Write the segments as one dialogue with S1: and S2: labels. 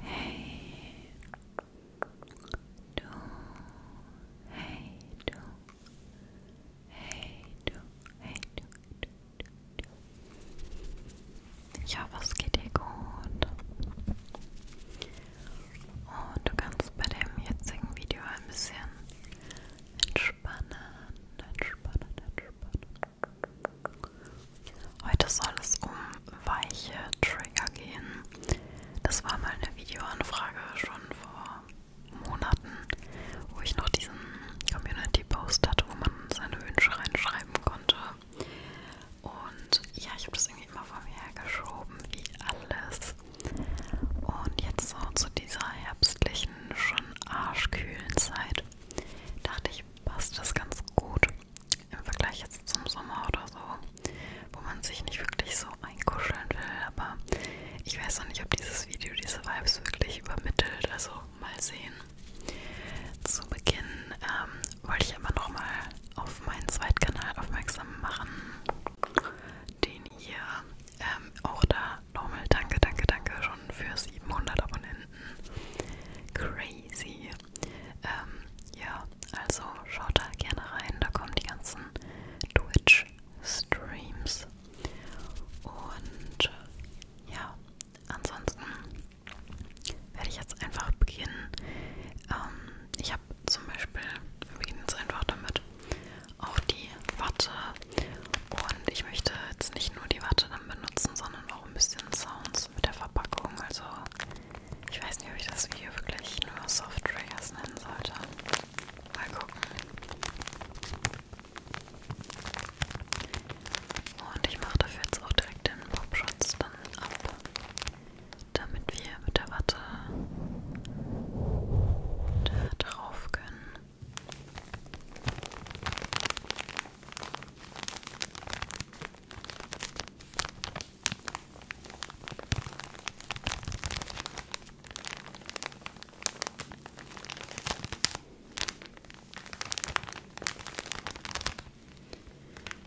S1: Hey du, hey du, hey du, hey du, du, du, du. Ich hoffe, es geht dir gut. Und du kannst bei dem jetzigen Video ein bisschen Entspannen, entspannen, entspannen. Heute soll es um weiche Trigger gehen. Das war mal eine Videoanfrage schon vor Monaten, wo ich noch diesen Community-Post hatte, wo man seine Wünsche reinschreiben konnte. Und ja, ich habe das irgendwie immer vor mir hergeschoben, wie alles. Und jetzt so zu dieser herbstlichen ziemlichen, schon arschkühlen Zeit dachte ich, passt das ganz gut im Vergleich jetzt zum Sommer oder so, wo man sich nicht wirklich so einkuscheln will. Aber ich weiß noch nicht, ob dieses Video diese Vibes wirklich übermittelt. Also mal sehen. Zu Beginn ähm, wollte ich aber nochmal auf meinen Zweitkanal aufmerksam machen, den ihr ähm, auch da nochmal danke, danke, danke schon für 700 Abonnenten. Crazy. Ähm, ja, also schaut da gerne rein. Da kommen die ganzen Twitch-Streams. Und ja, ansonsten werde ich jetzt einfach beginnen. Ähm, ich habe zum Beispiel, wir beginnen jetzt einfach damit, auch die Watte. Und ich möchte jetzt nicht nur die Watte dann benutzen, sondern auch ein bisschen Sounds mit der Verpackung. Also ich weiß nicht, ob ich das Video wirklich nur Soft Triggers nennen sollte. Mal gucken. Und ich mache dafür jetzt auch direkt den Popschutz dann ab, damit wir mit der Watte da drauf können.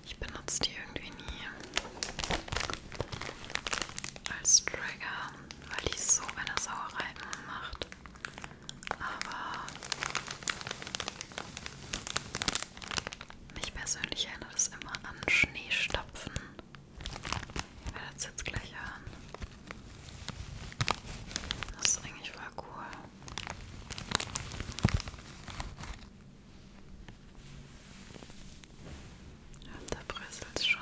S1: Ich benutze die irgendwie nie als Trigger, weil die so eine Sauerei macht. Aber mich persönlich erinnert es immer an Schneestapfen. Ihr werdet es jetzt gleich hören. Das ist eigentlich voll cool. Ja, da bröselt es schon.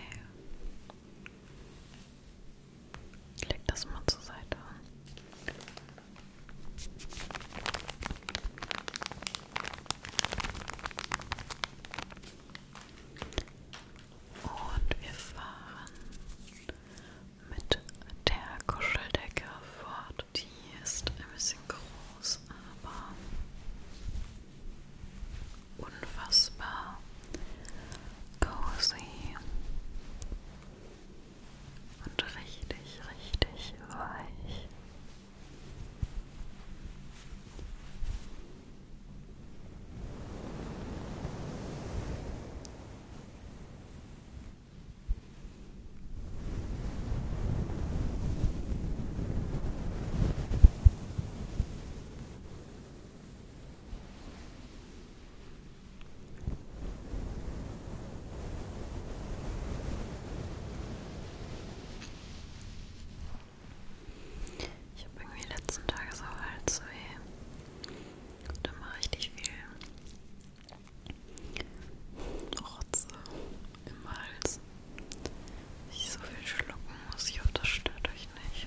S1: Ich leg das mal zur Seite. Und wir fahren mit der Kuscheldecke fort. Die ist ein bisschen groß, aber unfassbar cozy und richtig, richtig weich. Und ich habe irgendwie die letzten Tage halt so Halsweh und immer richtig viel Rotze im Hals. Ich so viel schlucken muss, ich hoffe, das stört euch nicht.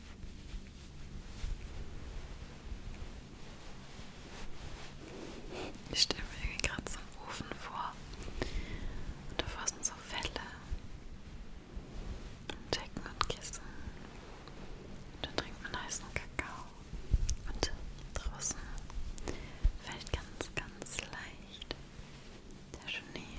S1: Ich stelle mir irgendwie gerade so einen Ofen vor. Und davor sind so Felle. Und Decken und Kissen. Und dann trinkt man heißen Kakao. Und draußen fällt ganz, ganz leicht der Schnee.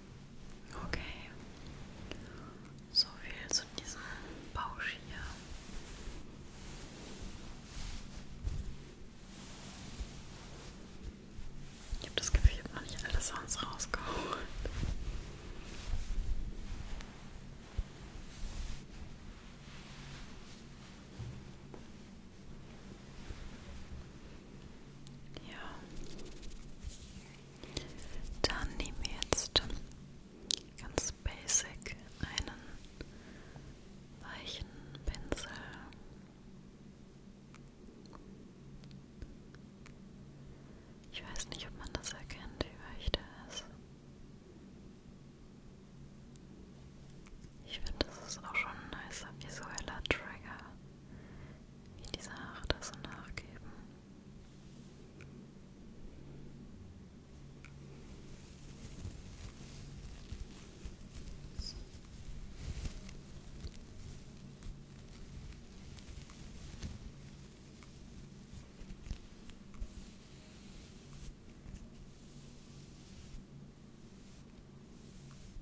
S1: Okay. So viel zu diesem Bausch hier. Ich habe das Gefühl, ich habe noch nicht alle Sounds rausgeholt. Ja. Dann nehmen wir jetzt ganz basic einen weichen Pinsel. Ich weiß nicht, ob man das erkennt, wie weich der ist. Ich finde, das ist auch schon ein nicer visueller Trigger wie diese Haare da so nachgeben.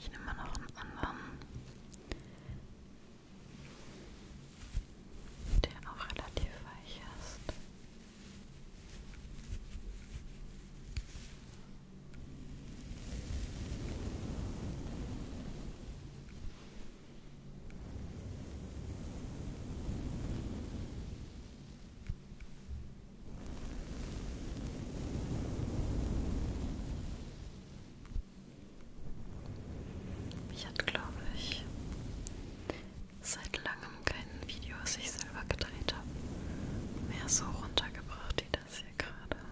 S1: Ich nehme noch einen anderen der auch relativ weich ist. Sehr ich hat, glaube ich, seit langem kein Video, was ich selber gedreht habe, mehr so runtergebracht wie das hier gerade.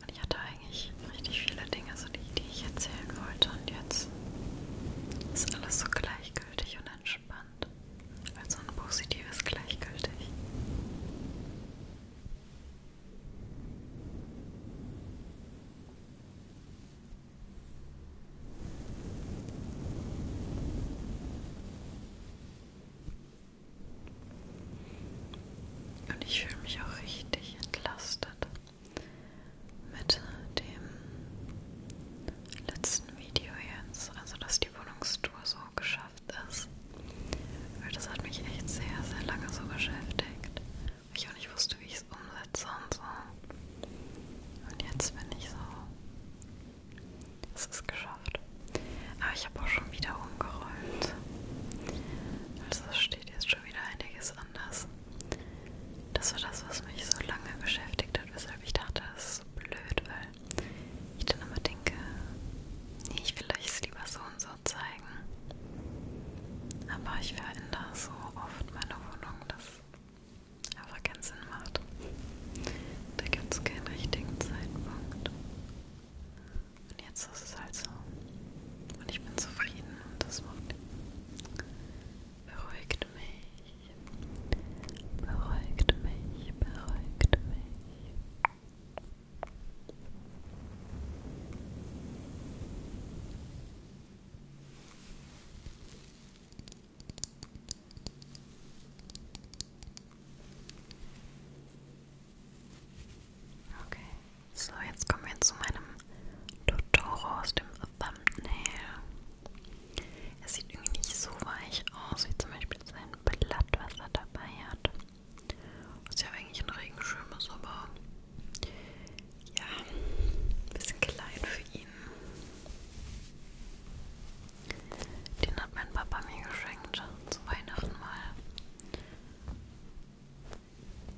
S1: Und ich hatte eigentlich richtig viele Dinge, so die, die ich erzählen wollte, und jetzt ist alles so gleichgültig und entspannt. Also ein positives gleichgültig. Und ich fühle mich auch richtig entlastet mit dem letzten Video jetzt, also dass die Wohnungstour so geschafft ist. Weil das hat mich echt sehr, sehr lange so beschäftigt. Ich auch nicht wusste, wie ich es umsetze und so. Und jetzt bin ich so. Es ist geschafft. Aber ich habe auch schon wieder umgerollt. Also steht jetzt schon wieder einiges anders. Das war das, was mich so lange beschäftigt hat, weshalb ich dachte, das ist so blöd, weil ich dann immer denke, nee, ich will es lieber so so und so zeigen. Aber ich verändere so oft meine Wohnung, dass aber keinen Sinn macht. Da gibt es keinen richtigen Zeitpunkt. Und jetzt ist es halt so. Und ich bin zufrieden und das macht beruhigt mich. Beruhigt mich, beruhigt mich. Okay, so jetzt kommen wir zu meinem Totoro aus dem Thumbnail. Es sieht irgendwie nicht so weich aus, wie zum Beispiel sein Blatt, was er dabei hat. Also ich habe eigentlich einen Regenschirm, ist aber ja, ein bisschen klein für ihn. Den hat mein Papa mir geschenkt zu Weihnachten mal.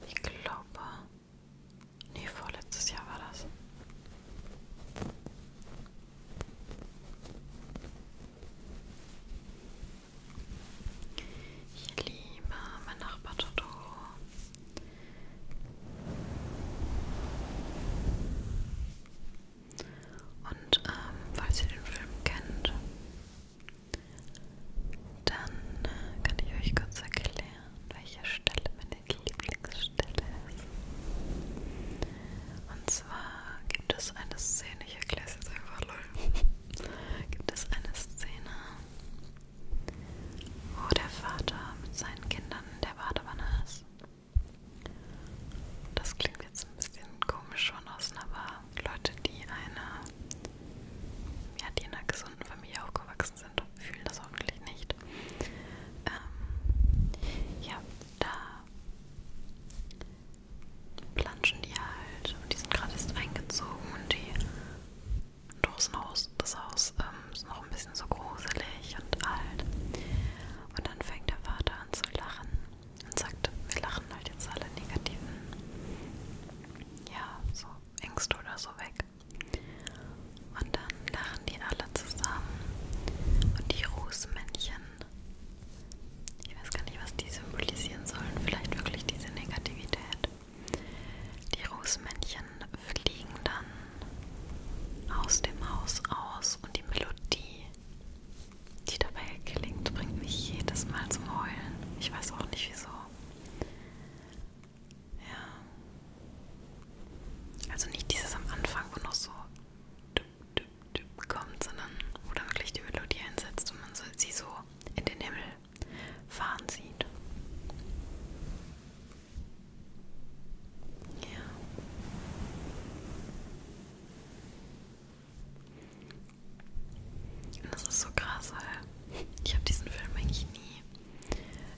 S1: Ich glaube, nee, vorletztes Jahr war das. Ich liebe mein Nachbar Toto. Und ähm, falls ihr den Film kennt, dann äh, kann ich euch kurz erklären, welche Stelle meine Lieblingsstelle ist. Und zwar gibt es eine Szene, ich erkläre es jetzt einfach lol, gibt es eine Szene, wo der Vater mit seinen Kindern in der Badewanne ist. Das klingt jetzt ein bisschen komisch von außen, aber Leute, die eine, ja, die in einer gesunden Familie aufgewachsen sind, fühlen das hoffentlich nicht. Ähm, ja, da planschen die halt und die sind gerade erst eingezogen und die Dosen aus, das Haus ähm, ist noch ein bisschen so gruselig und alt. Und dann fängt der Vater an zu lachen und sagt, wir lachen halt jetzt alle negativen, ja, so Ängste oder so weg. Und dann lachen die alle zusammen und die Rußmännchen ich weiß gar nicht, was die symbolisieren sollen. Vielleicht wirklich diese Negativität. Die Rußmännchen fliegen dann aus dem Haus aus und die Melodie, die dabei klingt, bringt mich jedes Mal zum Heulen. Ich weiß auch nicht wieso. Ja. Also nicht dieses am Anfang, wo noch so. Dup, dup, Typ kommt, sondern wo dann wirklich die Melodie einsetzt und man so, sie so in den Himmel fahren sieht. Ja. Und das ist so krass, weil ich habe diesen Film eigentlich nie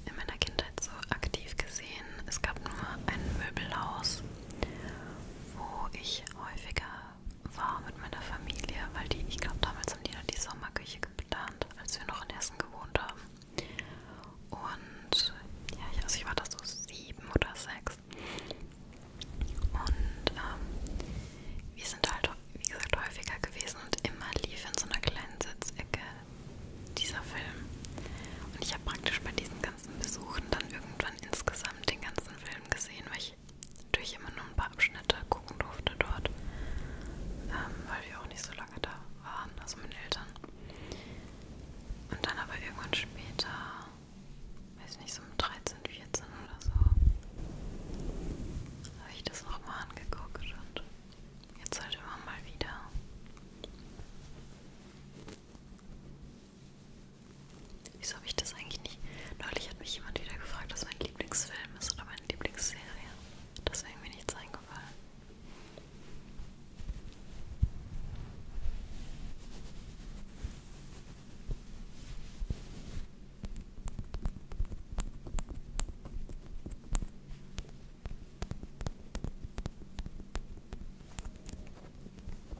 S1: in meiner Kindheit so aktiv gesehen. Es gab nur ein Möbelhaus, wo ich häufiger war mit meiner Familie, weil die, ich glaube, damals haben die dann die Sommerküche geplant, als wir noch in Hessen gewohnt haben. Und ja, ich, also ich war da so sieben oder sechs. Und ähm, wir sind halt, wie gesagt, häufiger gewesen und immer lief in so einer kleinen Sitzecke dieser Film. Und ich habe praktisch bei diesen ganzen Besuchen dann irgendwann insgesamt den ganzen Film Film gesehen, weil ich natürlich immer nur ein paar Abschnitte gucken durfte dort, ähm, weil wir auch nicht so lange da waren, also meine Eltern. Und dann aber irgendwann später, weiß nicht, so um 13, 14 oder so, habe ich das nochmal angeguckt und jetzt halt immer mal wieder. Wieso habe ich das eigentlich nicht? Neulich hat mich jemand wieder gefragt, was mein Lieblingsfilm ist oder meine Lieblingsserie. Das ist mir nichts eingefallen.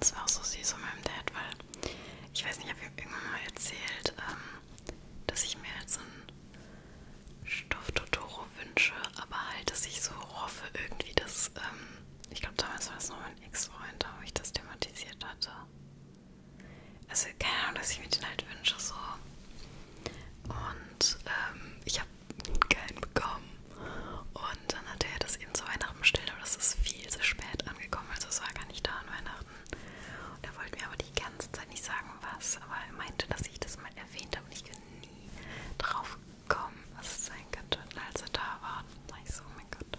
S1: Das war auch so süß von meinem Dad, weil ich weiß nicht, ich habe ihm irgendwann mal erzählt, ähm, dass ich mir jetzt halt so einen Stoff Totoro wünsche, aber halt, dass ich so hoffe irgendwie, dass, ähm, ich glaube damals war das noch mein Ex-Freund, da wo ich das thematisiert hatte. Also keine Ahnung, dass ich mir den halt wünsche, so. Und ähm, ich habe keinen bekommen. Und dann hatte er das eben zu Weihnachten bestellt, aber das ist viel zu spät angekommen, also es war gar nicht da an Weihnachten. Und er wollte mir aber die ganze Zeit nicht sagen, was, aber er meinte, dass ich das mal erwähnt habe und ich bin nie drauf gekommen, was es sein könnte. Und als er da war, war ich so, oh mein Gott.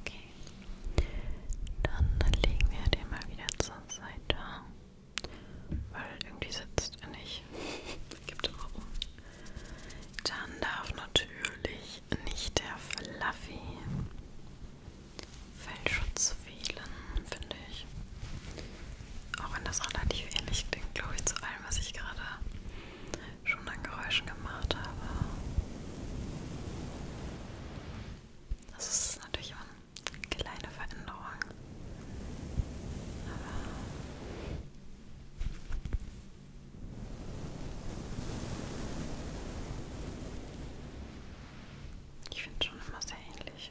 S1: Okay. Dann legen wir den mal wieder zur Seite. Weil irgendwie sitzt er nicht. Gibt immer um. Dann darf natürlich nicht der Fluffy Fellschutz fehlen, finde ich. Auch wenn das relativ ähnlich klingt, glaube ich, zu allem, was ich gerade schon an Geräuschen gemacht habe. Das ist natürlich immer eine kleine Veränderung. Aber ich finde schon immer sehr ähnlich.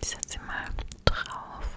S1: Ich setze sie mal drauf.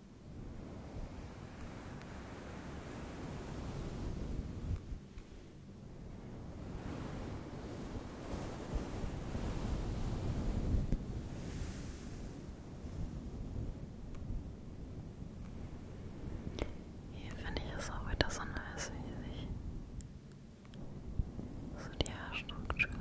S1: Hier finde ich es auch wieder so nice, wie sich so die Haarstruktur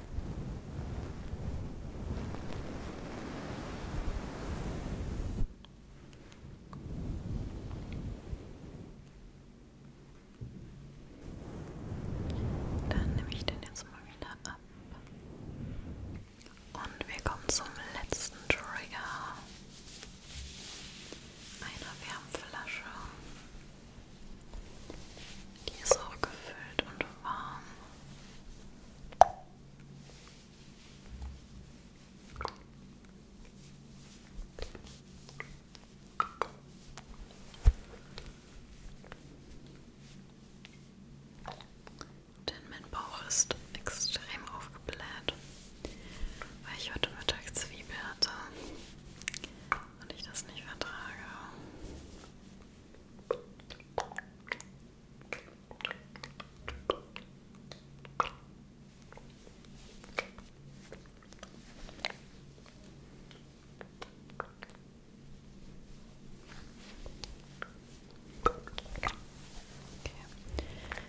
S1: Dann nehme ich den jetzt mal wieder ab. Und wir kommen zum letzten Trigger. Einer Wärmflasche. Die ist auch gefüllt und warm. Denn mein Bauch ist extrem aufgebläht, weil ich heute Mittag Zwiebel hatte und ich das nicht vertrage. Okay.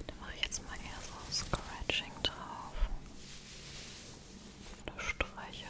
S1: Dann mache ich jetzt mal eher so ein Scratching drauf. Oder streicheln.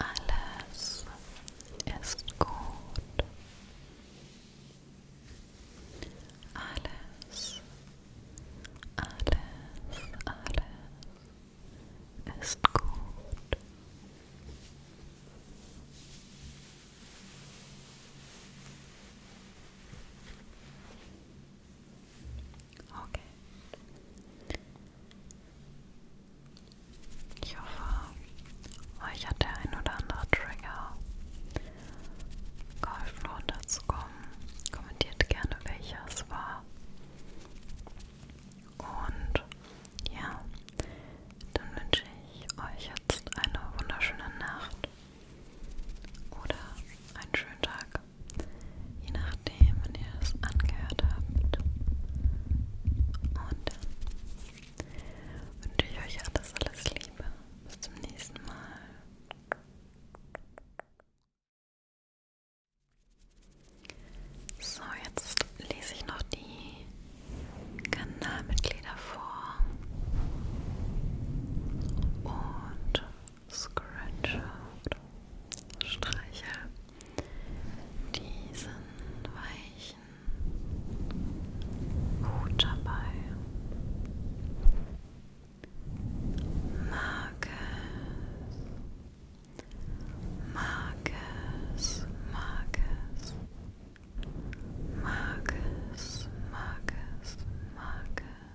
S1: Alles it's gut. Alles, alles, alles ist gut. Okay. Ich hoffe, euch hat der ein oder andere Trigger geholfen runterzukommen. Kommentiert gerne, welcher es war. Und ja, dann wünsche ich euch jetzt eine wunderschöne Nacht oder einen schönen Tag, je nachdem, wenn ihr das angehört habt. Und dann wünsche ich euch alles, alles Liebe. Bis zum nächsten Mal. So, jetzt lese ich noch die Kanalmitglieder vor und Scratcher oder Streicher diesen weichen Hut dabei. Mag es, mag es, mag es, mag es, mag es, mag es.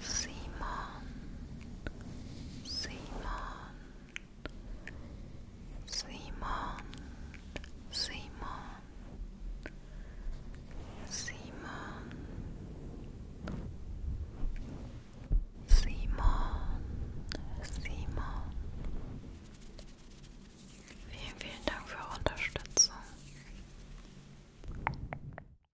S1: Simon, Simon, Simon, Simon, Simon, Simon, Simon. Vielen, vielen Dank für eure Unterstützung.